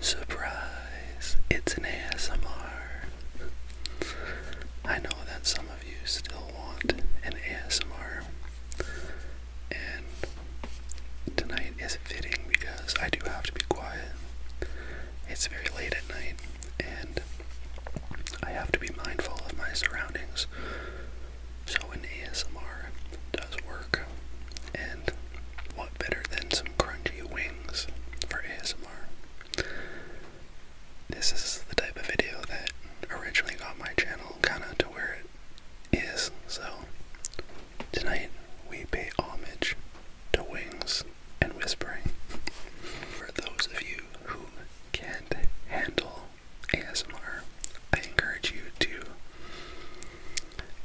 Surprise! It's an ASMR. I know that some of you still want an ASMR, and tonight is fitting because I do have to be quiet. It's very late at night, and I have to be mindful of my surroundings. So, an ASMR does work, and what better than some? crunchy wings for ASMR. This is the type of video that originally got my channel kind of to where it is, so tonight we pay homage to wings and whispering. For those of you who can't handle ASMR, I encourage you to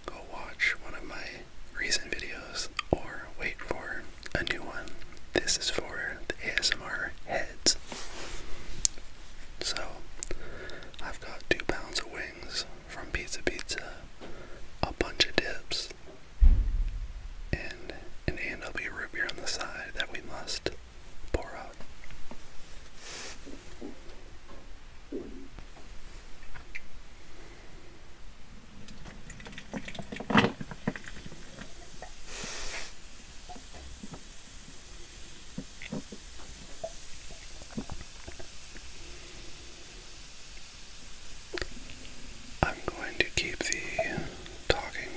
go watch one of my recent videos or wait for a new one. This is for the ASMR heads. So, I've got two pounds of wings from Pizza Pizza, a bunch of dips, and an A&W root beer on the side that we must pour out. I'm going to keep the talking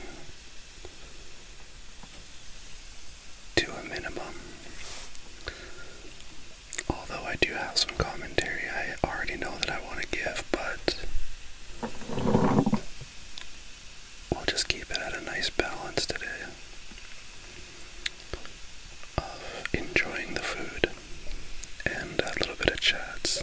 to a minimum Although I do have some commentary I already know that I want to give, but we'll just keep it at a nice balance today of enjoying the food and a little bit of chats.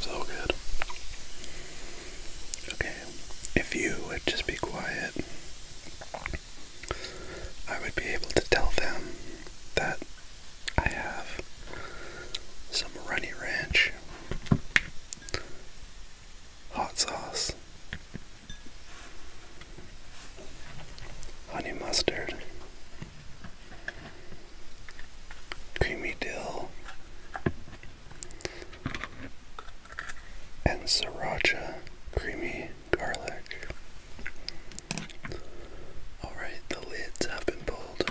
So good. Okay, if you would just be quiet, I would be able to tell them that I have some runny ranch hot sauce, honey mustard, creamy dill, and sriracha creamy garlic. Alright, the lids have been pulled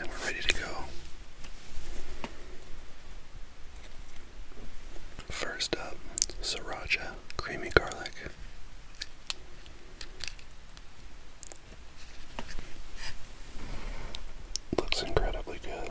and we're ready to go. First up, Sriracha Creamy Garlic. Looks incredibly good.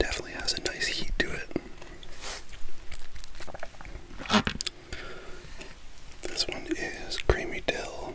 Definitely has a nice heat to it. This one is creamy dill.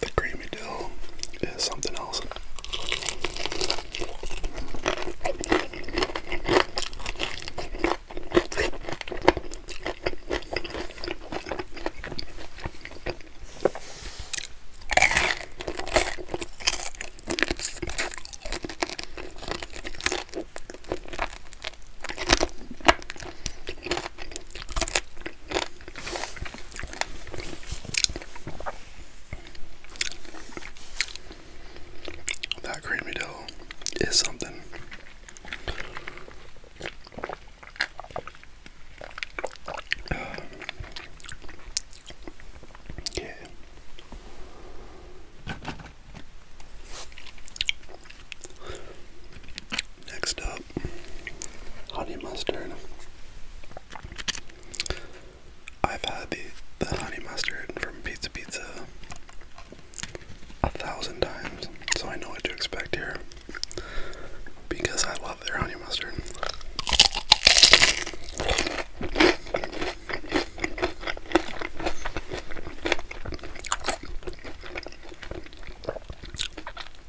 The creamy dill is something else. That creamy dough is something. Uh, Next up, up honey mustard. I've had the, the honey mustard from Pizza Pizza a thousand times, so I know what to expect here because I love their honey mustard.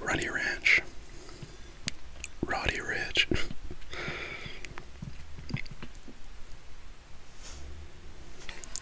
Runny Ranch, Roddy Ridge.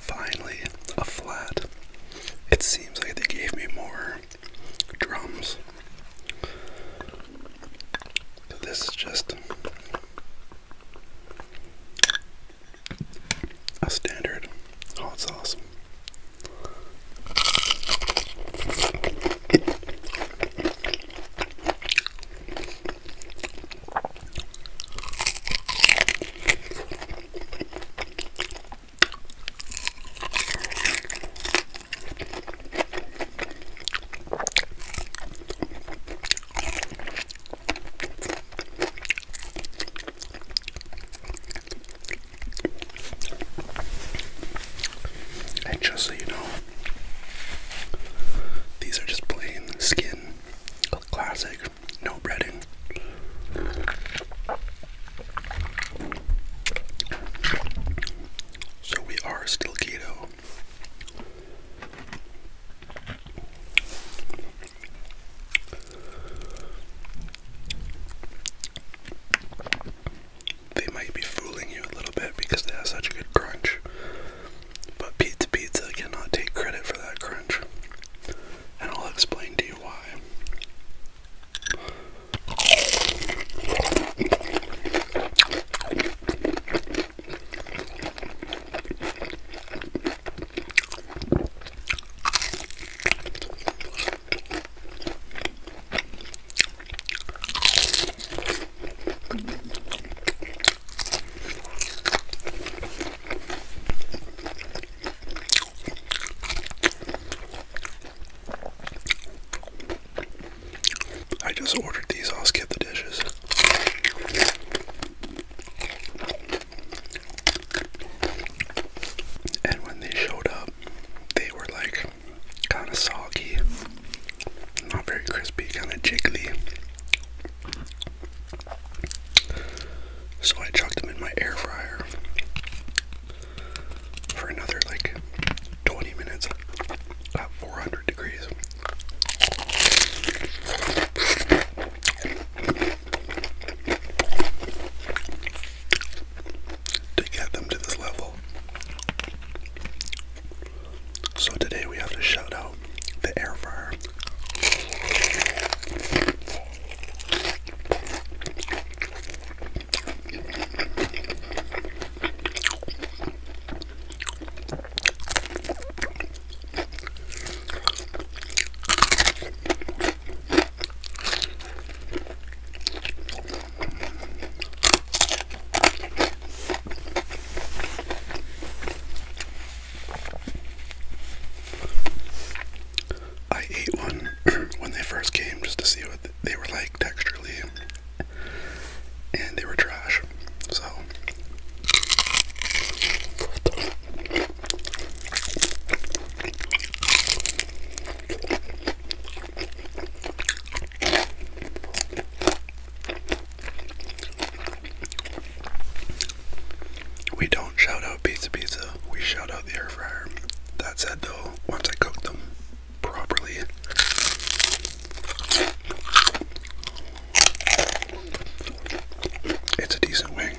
Finally, a flat. It seems like they gave me more drums. This is just a standard hot sauce just so you know, these are just plain skin, classic, no breading. So we are still keto. They might be fooling you a little bit because they have such a good crunch. But Pizza Pizza cannot take credit for that crunch. And I'll explain to you why. I just ordered these, I'll skip the dishes. And when they showed up, they were like kind of soggy, not very crispy, kind of jiggly. So I chucked them in my air fryer for another like 20 minutes at 400 degrees to get them to this level. So today we have to shout out the air fryer. I ate one when they first came just to see what they were like texturally and they were trash. So we don't shout out pizza pizza, we shout out the air fryer. That said, though, once I cook them properly, it's a decent wing.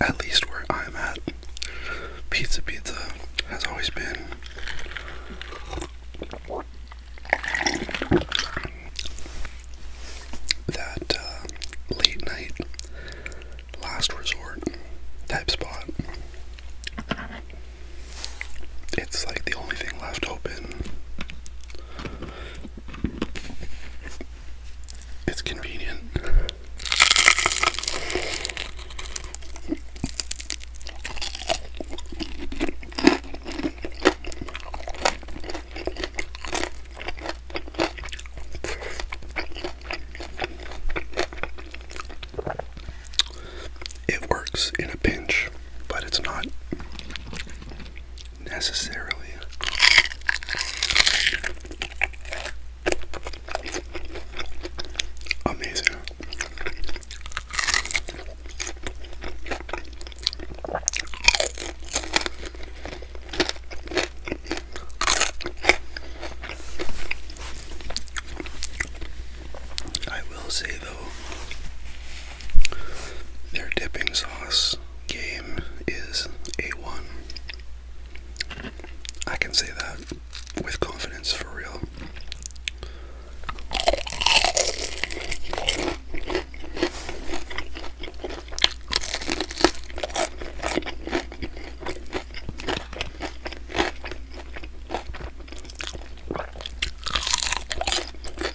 At least where I'm at, Pizza Pizza has always been that uh, late night, last resort type spot. It's like the only thing left open it's convenient. It works in a pinch, but it's not necessarily. Amazing. I will say though, their dipping sauce game is A1. I can say that with confidence for real.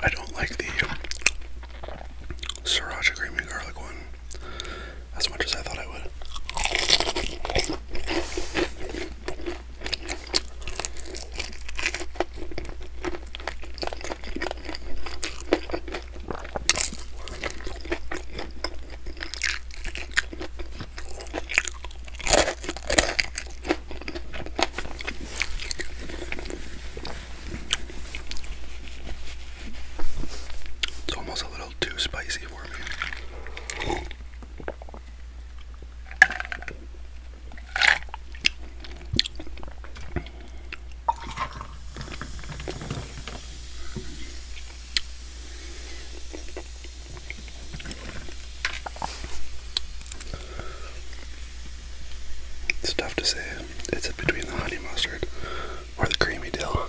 I don't like the sriracha and garlic one as much as I thought I would. It's almost a little too spicy for me. It's tough to say. It's between the honey mustard or the creamy dill.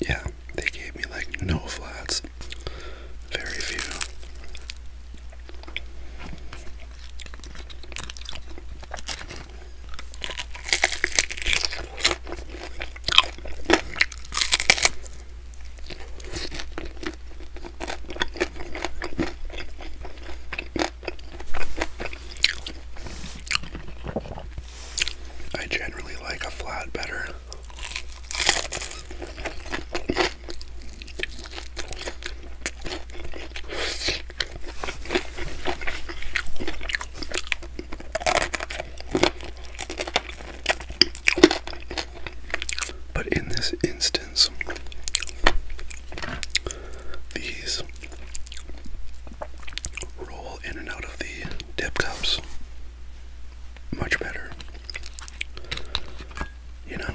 Yeah, they gave me like no flats, very few. I generally like a flat better. But in this instance, these roll in and out of the dip cups much better. You know?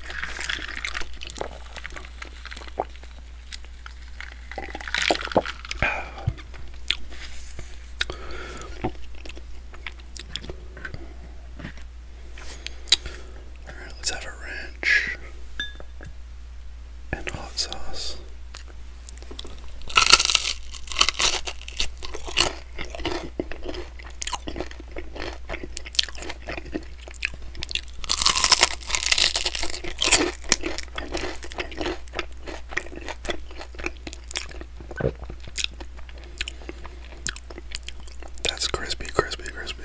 Alright, let's have a ranch and hot sauce. That's crispy, crispy, crispy.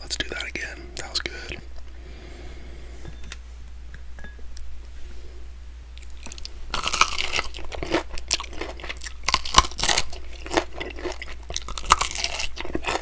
Let's do that again. That was good.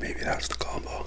Maybe that's the combo.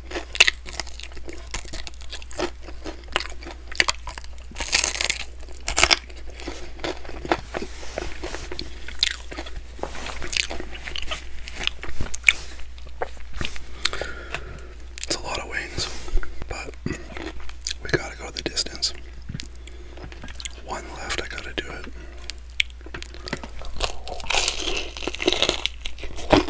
It's a lot of wings, but we gotta go the distance. One left, I gotta do it.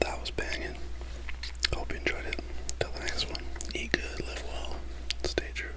That was banging. Hope you enjoyed it. Till the next one. Eat good, live well, stay true.